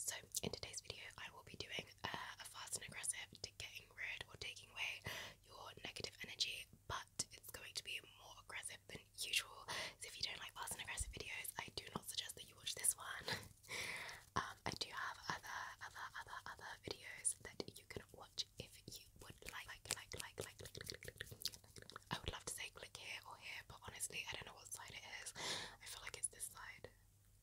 So in today's video, I will be doing a fast and aggressive to getting rid or taking away your negative energy, but it's going to be more aggressive than usual. So if you don't like fast and aggressive videos, I do not suggest that you watch this one. I do have other, other, other, other videos that you can watch if you would like, like, like, like, like, like, like, like, like, like. I would love to say click here or here, but honestly, I don't know what side it is. I feel like it's this side.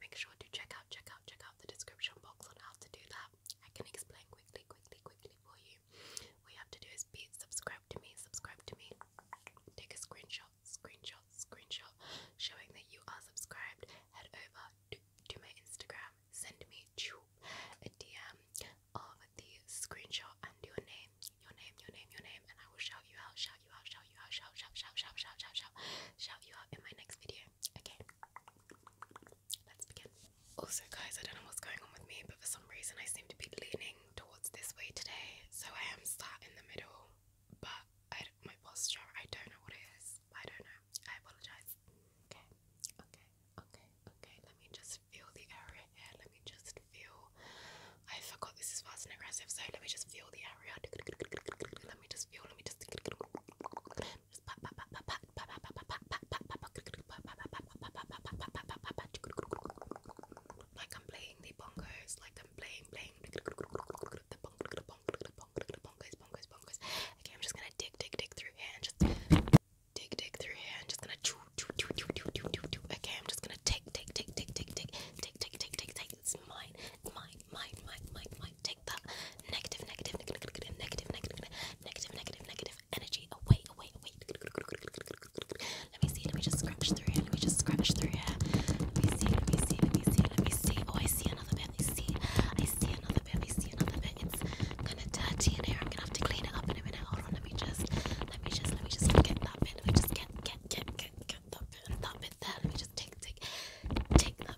Make sure to check out, check out, check out the description box on how to do that. I can explain quickly, quickly, quickly for you. All you have to do is be subscribe to me, subscribe to me. Take a screenshot, screenshot, screenshot, showing that you are subscribed. Head over to, my Instagram. Send me a DM of the screenshot and your name, your name, your name, your name, and I will shout you out, shout you out, shout shout you out, shout, shout, shout, shout, shout, shout, shout, shout you out in my next video. Okay, let's begin. Also, guys, I don't know what's going on with me, but for some reason I seem to be leaning towards this way today, so I am sat in the middle, but I, my posture, I don't know what it is. I don't know. I apologize. Okay, okay, okay, okay. Let me just feel the area here. Let me just feel. I forgot this is fast and aggressive, so let me just feel the area. Let me just feel. Let me just. Just pat pat pat pat pat pat pat pat pat pat pat pat Like I'm playing the bongos. Like I'm playing playing the bongos bongos bongos bongos. Okay, I'm just gonna dig dig dig through here and just dig dig through here and just gonna chew chew chew chew chew chew chew. Okay, I'm just gonna take take take take take take take take take take. It's mine. It's mine might, might, might, might, might take that negative, negative, negative, negative, negative, negative, negative, negative, negative energy away, away, away. Let me see. Let me just scratch through here. Let me just scratch through here. Let me see. Let me see. Let me see. Let me see. Oh, I see another bit. I see. I see another bit. I see another bit. It's kind of dirty in here. I'm gonna have to clean it up in a minute. Hold on. Let me just. Let me just. Let me just get that bit. Let me just get get get get get that bit. That bit there. Let me just take take take that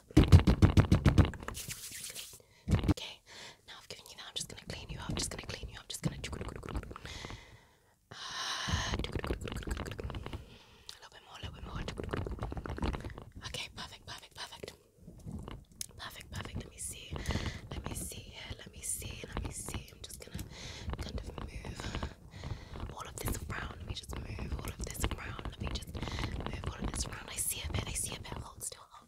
please. Okay, now I've given you that. I'm just gonna clean you up. Just gonna clean you up. Just gonna. Uh, a little bit more. A little bit more. Okay, perfect. Perfect. Perfect. Perfect. Perfect. Let me see. Let me see here. Let me see. Let me see. I'm just gonna kind of move all of this around. Let me just move all of this around. Let me just move all of this around. I see a bit. I see a bit. Hold still. Hold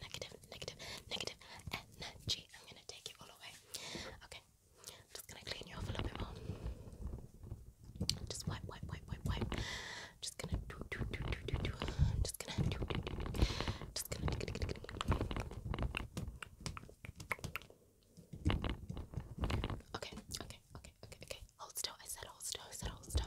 negative, negative, negative energy. I'm gonna take it all away. Okay, I'm just gonna clean you off a little bit more. Just wipe, wipe, wipe, wipe, wipe. just gonna do, do, do, do, do, do. just gonna do, do, do, do. i just gonna. Okay, okay, okay, okay, okay. hold still. I said hold still. I said hold still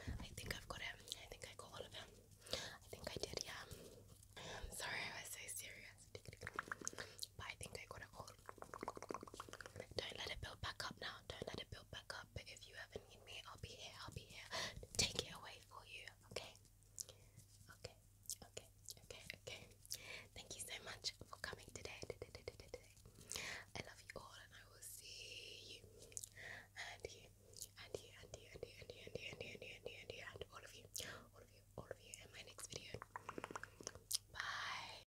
I think I've got it. I think I got all of them. I think I did, yeah. Um, sorry I was so serious. But I think I got it all. Don't let it build back up now. Don't let it build back up. if you ever need me, I'll be here. I'll be here. Take it away for you, okay? Okay, okay, okay, okay. Thank you so much for coming today. I love you all and I will see you and you, and you, and you, and you, and you, and you, and you, and you, and you, and you, and all of you, all of you, all of you in my next video. Bye.